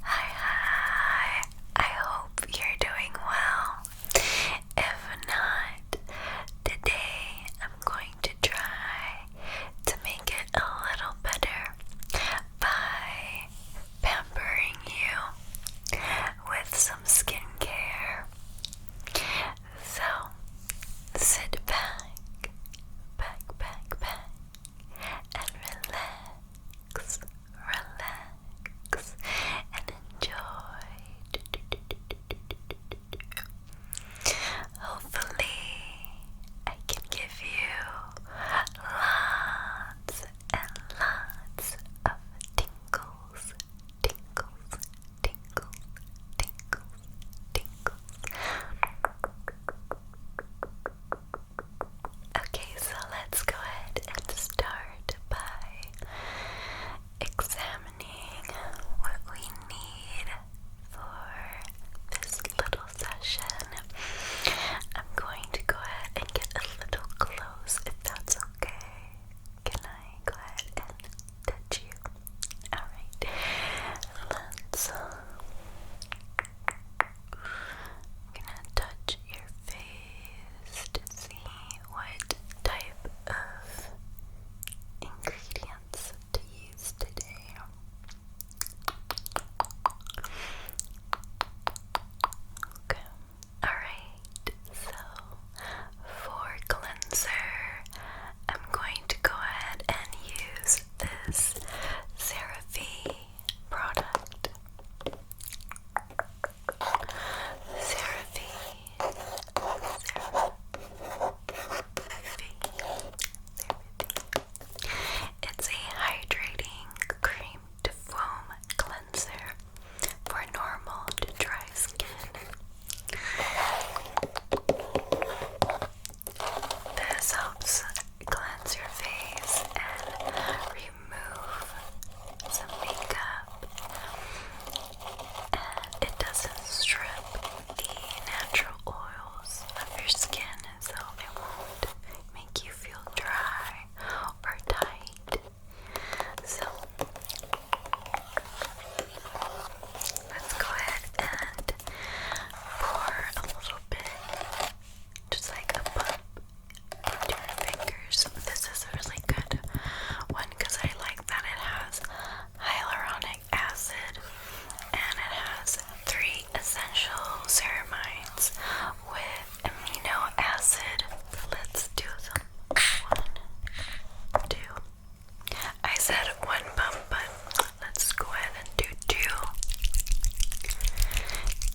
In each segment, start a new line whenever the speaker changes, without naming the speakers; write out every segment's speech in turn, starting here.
Hi, I hope you're doing well. If not, today I'm going to try to make it a little better by pampering you with some skincare. So, sit back, back, back, back, and relax relax, and enjoy. Hopefully, I can give you lots and lots of tingles, tingles, tingles, tingles, tingles. Okay, so let's go ahead and start by examining what we need for this little session. I'm going to go ahead and get a little close if that's okay. Can I go ahead and touch you? Alright, let's. I'm gonna touch your face to see what type of ingredients to use today. Okay. Alright, so for cleanser, I'm going to go ahead and use this Seraphie product. Seraphine. It's a hydrating cream to foam cleanser for normal to dry skin. This helps cleanse your face and remove some makeup. it doesn't strip the natural oils of your skin, so it won't make you feel dry or tight. So let's go ahead and pour a little bit just like a bump into your fingers. This is a really good one because I like that it has hyaluronic acid and it has three essential ceramides with amino acid. Let's do them. One, two. I said one pump, but let's go ahead and do do,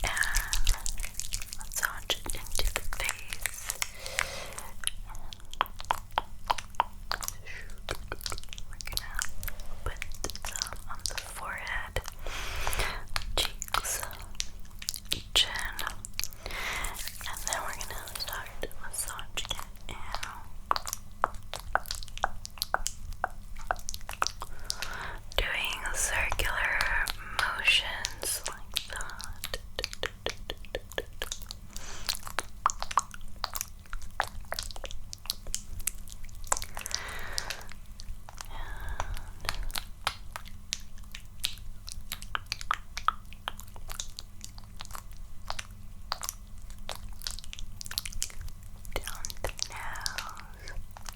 And massage into the face. We're gonna put some on the forehead, cheeks, chin, and then we're gonna start massaging it in doing circular motions like that. And down the Circular motions.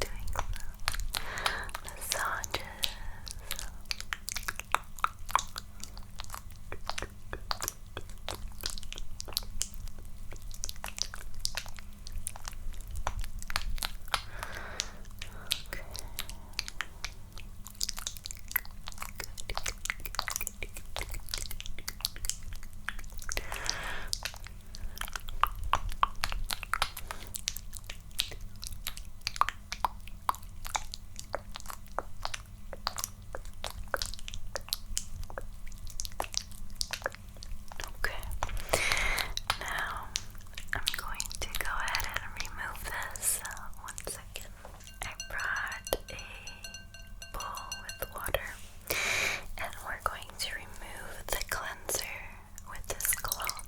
Doing some massages. Okay. Good, good, good, good. Okay. Now I'm going to go ahead and remove this. Uh, one second. I brought a bowl with water and we're going to remove the cleanser with this cloth.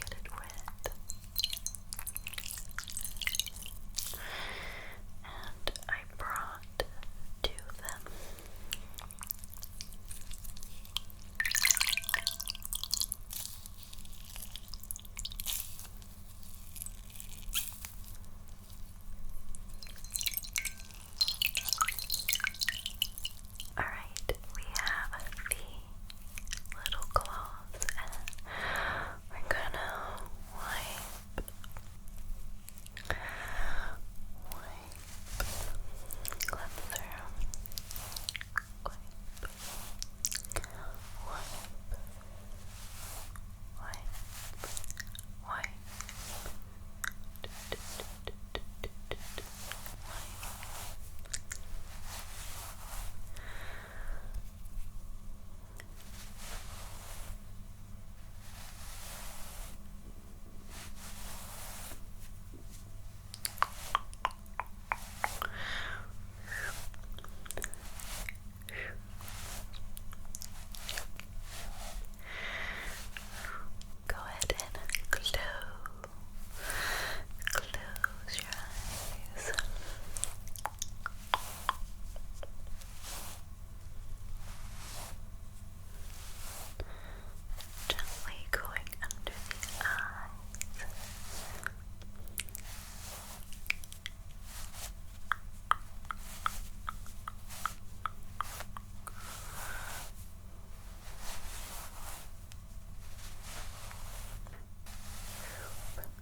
Get it wet. And I brought two them. All right, we have the little claws, and we're gonna wipe wipe, Go ahead and close, close your eyes. Gently going under the eyes.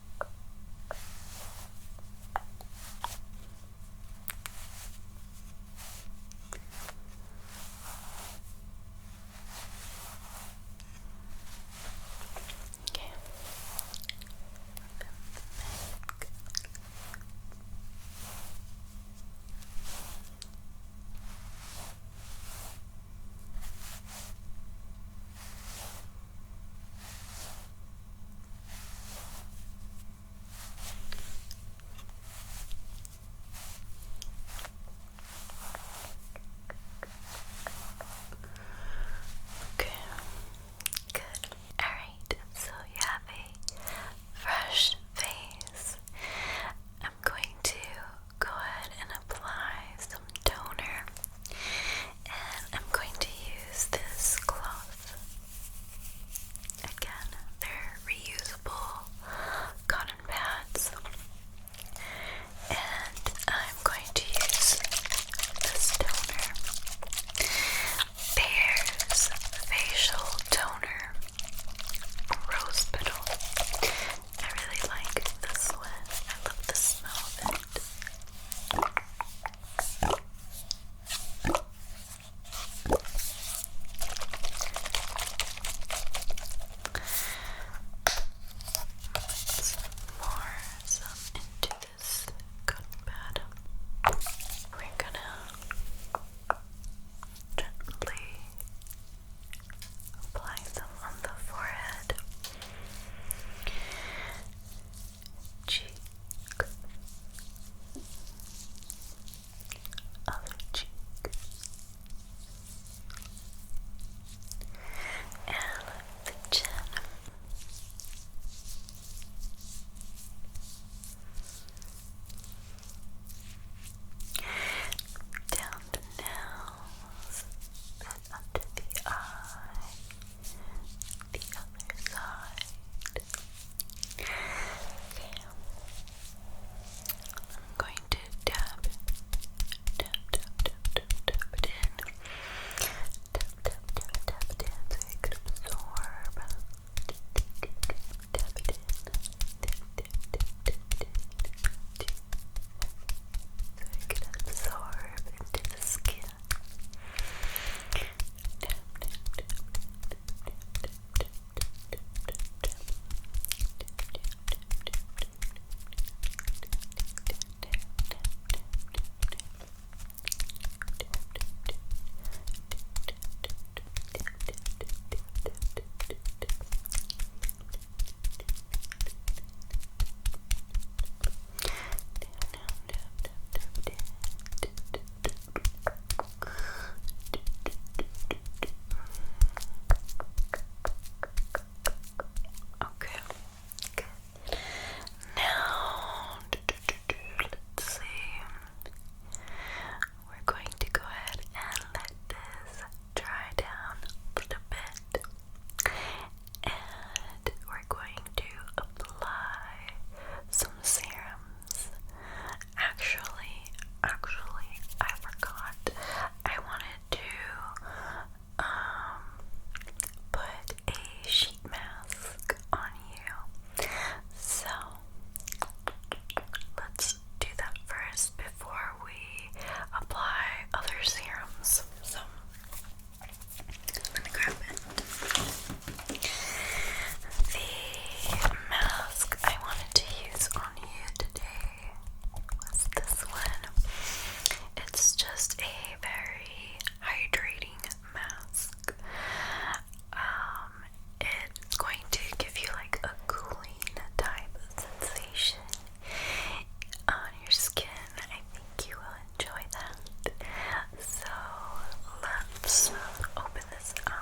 Okay. Back. Okay, good. Alright, so you have fresh face. I'm going to go ahead and apply some toner, and I'm going to use this cloth. Again, they're reusable cotton pads, and I'm going to use this toner. There's facial toner. Rose petal. I really like this one. I love the smell of it. Let's more some into this cotton pad. We're gonna gently Applying them on the forehead, cheek, other cheek, and the chin. Down the nose, then up to the eye, the other side. Okay. I'm going to dab, tap, tap, tap, tap, tap it in. Tap, tap, tap, tap it so it can absorb. Tap, tap, tap, tap it in. Tap, tap, tap, tap it in too, so it can absorb into the skin. Okay. Good. Now let's see. We're going to go ahead and let this dry down a bit, and we're going to apply some serums. Actually, actually, I forgot. I wanted to um, put a sheet mask on you, so let's do that first before we apply other serums. So I'm gonna grab it. The mask I wanted to use on you today was this one. It's just a very hydrating mask. Um, it's going to give you like a cooling type sensation on your skin. I think you will enjoy that. So let's open this up.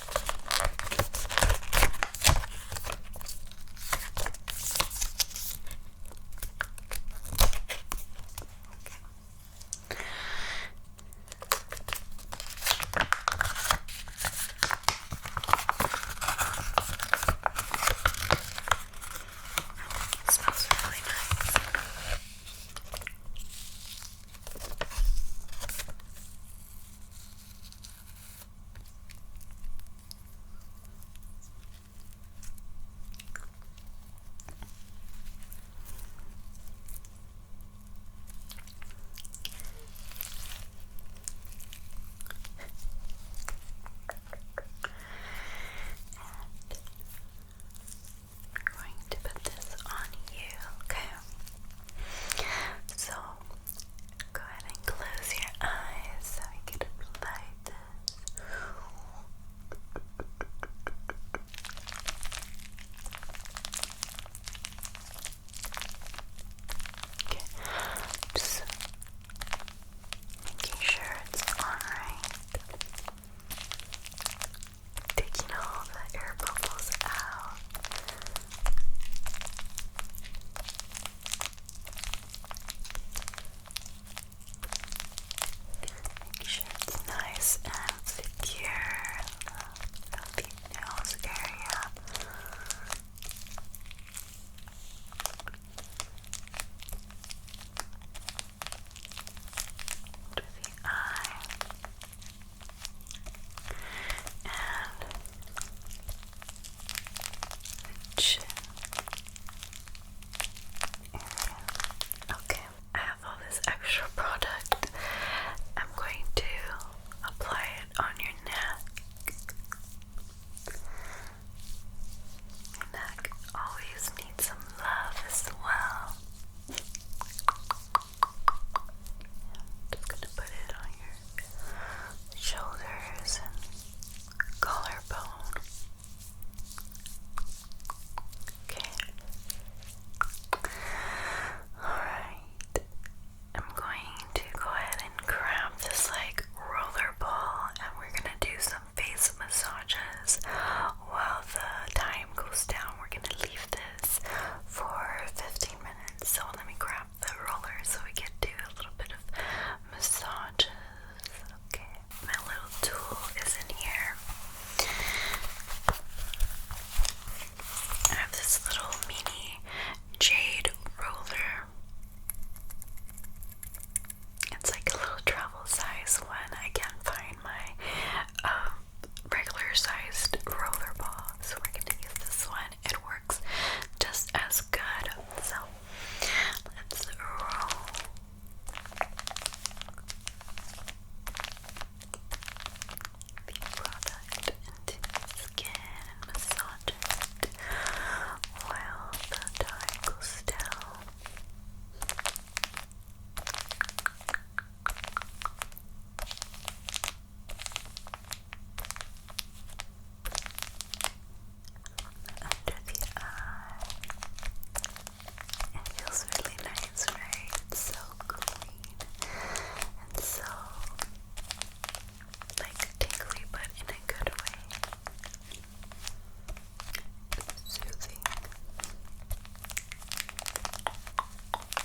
It smells really nice. And I'm going to put this on you, okay? So go ahead and close your eyes so I can apply this. Okay. making sure it's alright. Taking all the air bubbles out. Make sure it's nice and secure the nose area. Under the eye. Okay, I have all this extra product. I'm going to apply it on your neck. Your neck always needs some love as well. Just gonna put it on your shoulders and collarbone. Okay. Alright. I'm going to go ahead and grab this like roller ball and we're gonna do some face massages while the time goes down. We're gonna leave this for 15 minutes. So let me grab the roller so we can do a little bit of massages. Okay, my little tool is in here. I have this little mini jade roller. It's like a little travel size one. I can't find my um, regular sized roller ball. So we're gonna use this one. It works just as good. So let's roll. The product into the skin and massage it while the time goes down under the eye. It feels really nice, right? It's so clean and so like tingly, but in a good way. Soothing.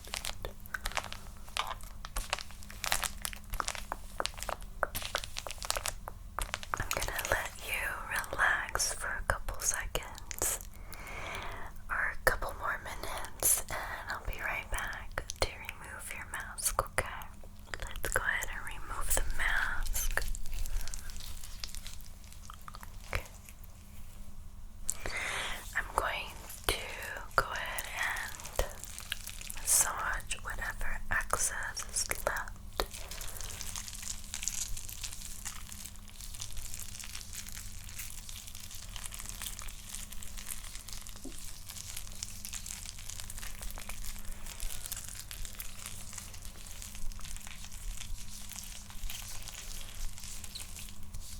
I'm gonna let you relax for a couple seconds or a couple more minutes, and I'll be right back to remove your mask, okay? Let's go ahead and remove the mask. I'm going to go ahead and massage whatever excess is left.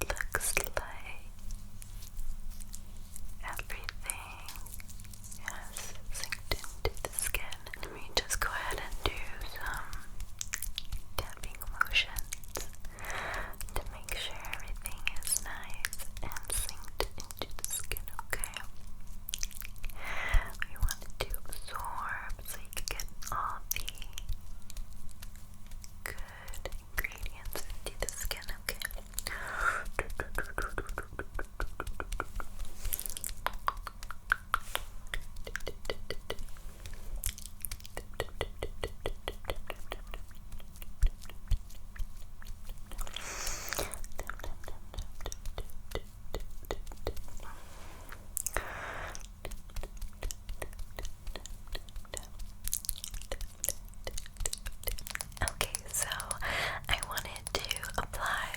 Looks like everything has synced into the skin. Let me just go ahead and do some tapping motions to make sure everything is nice and synced into the skin, okay? We want it to absorb so you can get all the good ingredients into the skin, okay? Okay, so I wanted to apply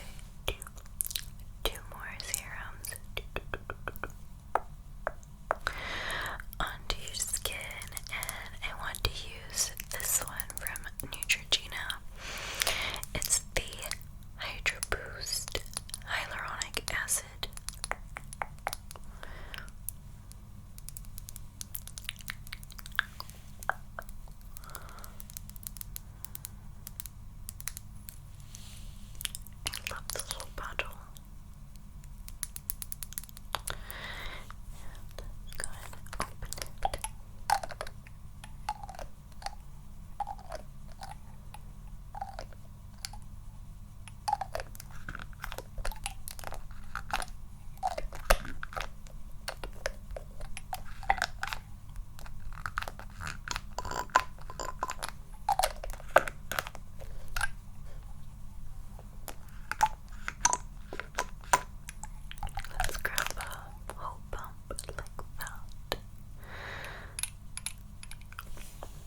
two, more serums onto your skin, and I want to use this one from Neutrogena. It's the Hydro Boost Hyaluronic Acid. I love this little bottle. And Let's grab a whole bump like that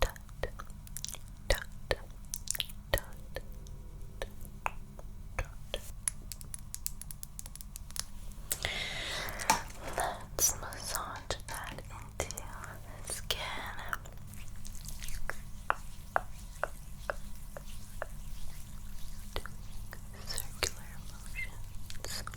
Dot, dot, Let's massage that into the skin. circular motions.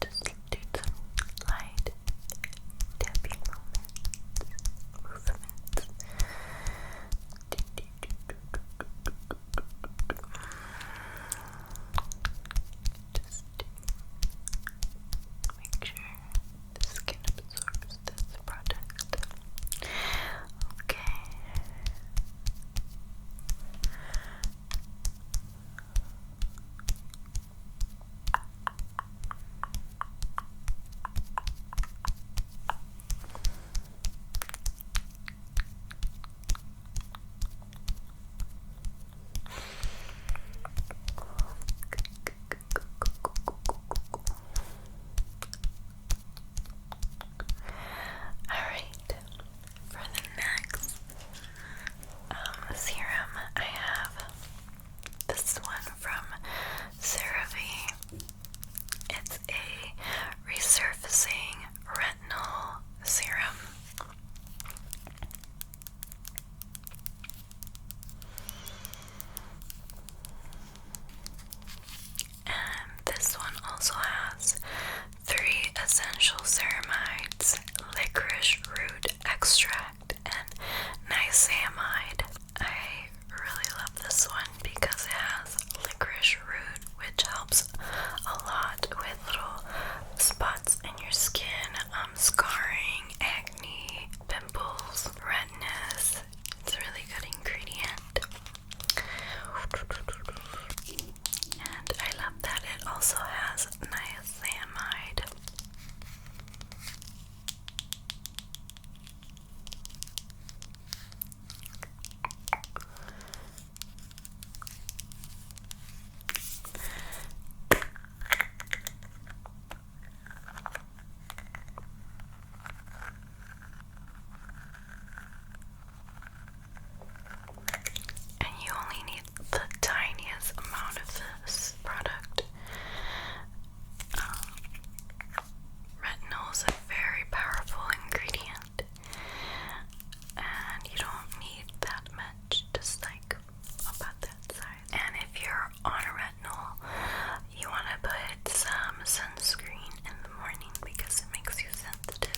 just do some light tapping movements. Movements. Just make sure the skin absorbs this product. Okay. All right, for the next um, serum. I have this one from CeraVe. It's a resurfacing retinol serum. And this one also has Three essential ceramides, licorice root extract, and niacinamide. I really love this one because it has licorice root, which helps a lot with little spots in your skin, um, scarring, acne, pimples, redness. It's a really good ingredient. And I love that it also has niacinamide. And you only need the tiniest amount of this product. Um, retinol is a very powerful ingredient, and you don't need that much, just like about that size. And if you're on a retinol, you want to put some sunscreen in the morning because it makes you sensitive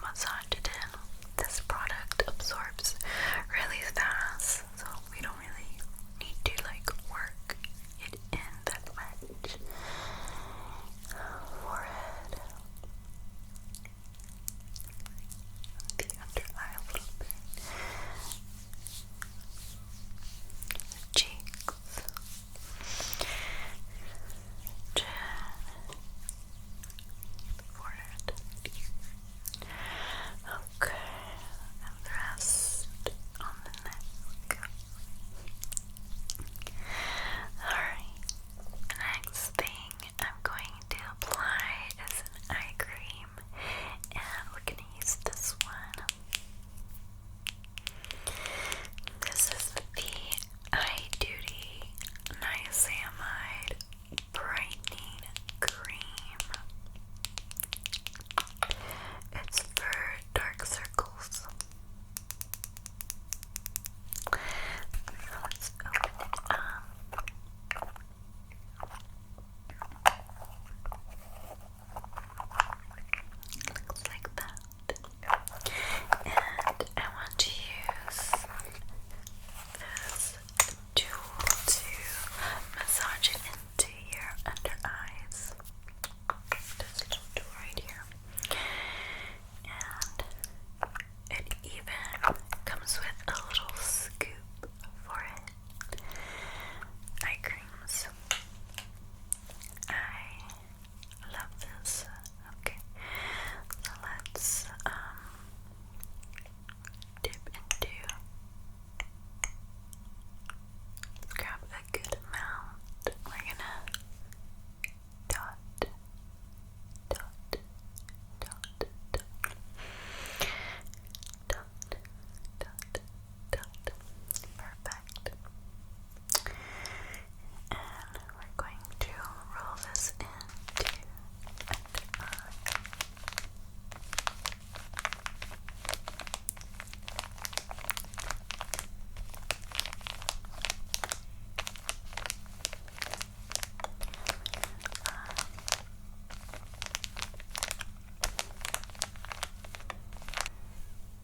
massage it in. This product absorbs really fast, so we don't really need to like work it in that much. Forehead, the under eye a little bit, cheeks chin, forehead. Okay, and the rest on the neck. Alright, next thing I'm going to apply is an eye cream, and we're going to use this one. This is the Eye Duty Niacinamide Brightening Cream. It's for dark circles. So let's open it up. Looks like that. And I want to use this tool to massage it into your under eyes. This tool right here. And it even comes with a little scoop for Eye creams. I love this. Okay, so let's um dip into. Let's grab a good amount. We're gonna dot, dot, dot, dot, dot, dot, dot. Perfect. And we're going to roll this into an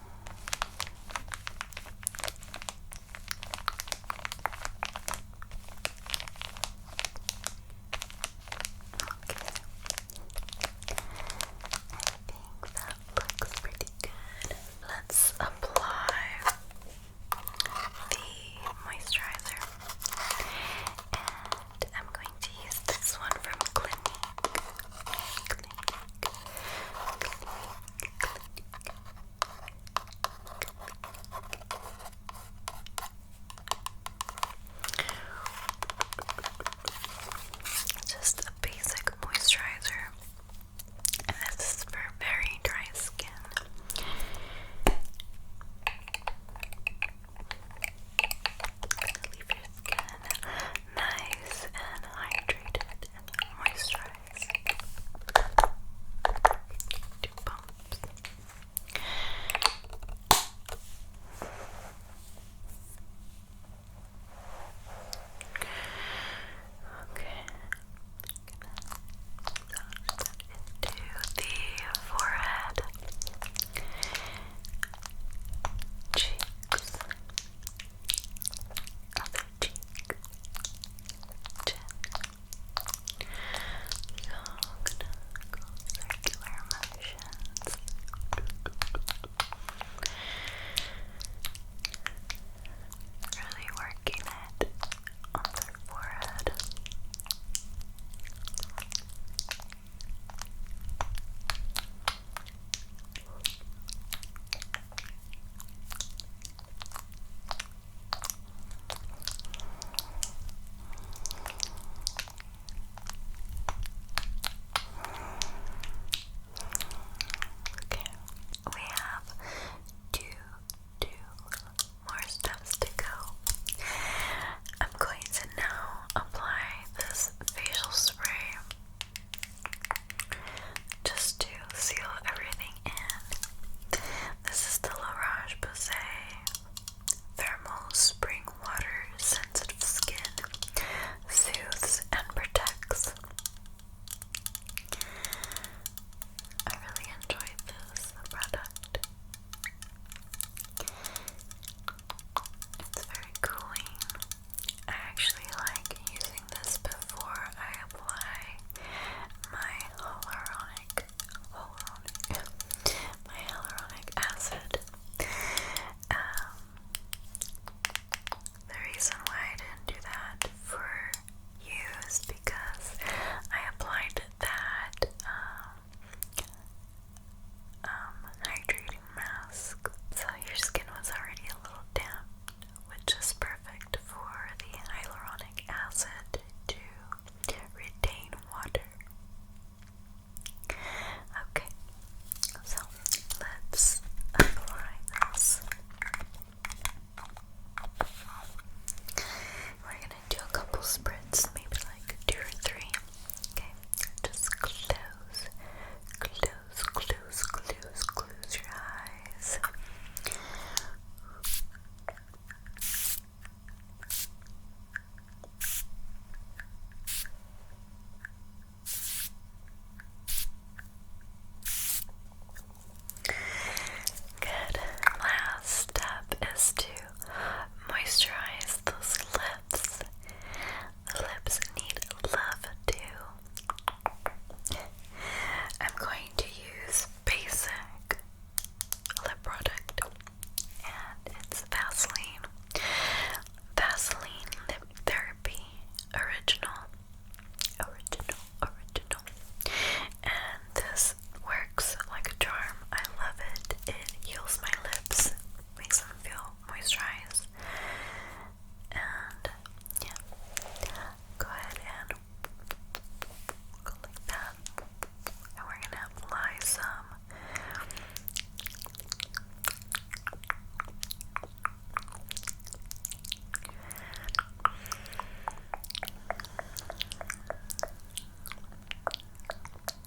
think that looks pretty good. Let's apply the moisturizer, and I'm going to use this one from Clinique. Just a basic moisturizer, and this is for very dry skin. Leave your skin nice and hydrated and moisturized. Two pumps. Okay. Into the forehead, cheeks, other cheek, chin. So circular motions. Really working it on their forehead. Okay, we have two, two more steps to go. I'm going to now apply this facial spray just to seal everything in. This is the La Roche Posay Thermal Spring Water Sensitive Skin Soothes and Protects. I really enjoyed this product. It's very cooling. I actually like using this before I apply my hyaluronic, hyaluronic, acid. Um, the reason why I didn't do that for you because I applied that um, um, hydrating mask. So your skin was already a little damp, which is perfect for the hyaluronic acid to retain water. Okay, so let's apply this. We're gonna do a couple sprints, maybe like two or three. Okay, just close, close, close, close, close your eyes. Good. Last step is to moisturize those lips lips need love too. I'm going to use basic lip product and it's Vaseline. Vaseline Lip Therapy Original. Original, original. And this works like a charm. I love it. It heals my lips, makes them feel moisturize. And yeah, go ahead and go like that. And we're gonna apply some. Good.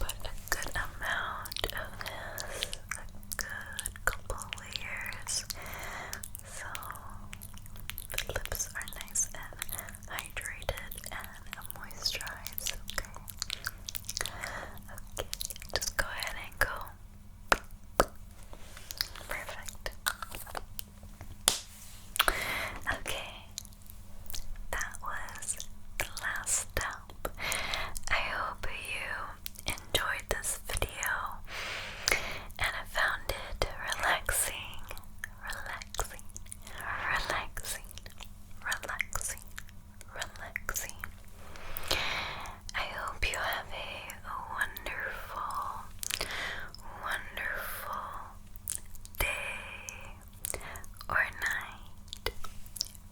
Put a good amount of this, a good couple layers, so the lips are nice and hydrated and moisturized. Okay. Okay, just go ahead and go. Perfect. Okay, that was the last step. I hope you enjoyed this video and I found it relaxing, relaxing, relaxing, relaxing relaxing. I hope you have a wonderful, wonderful day or night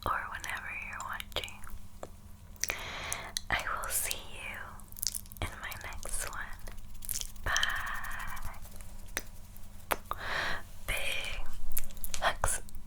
or whenever you're watching. I will see you in my next one. Bye. Big hugs.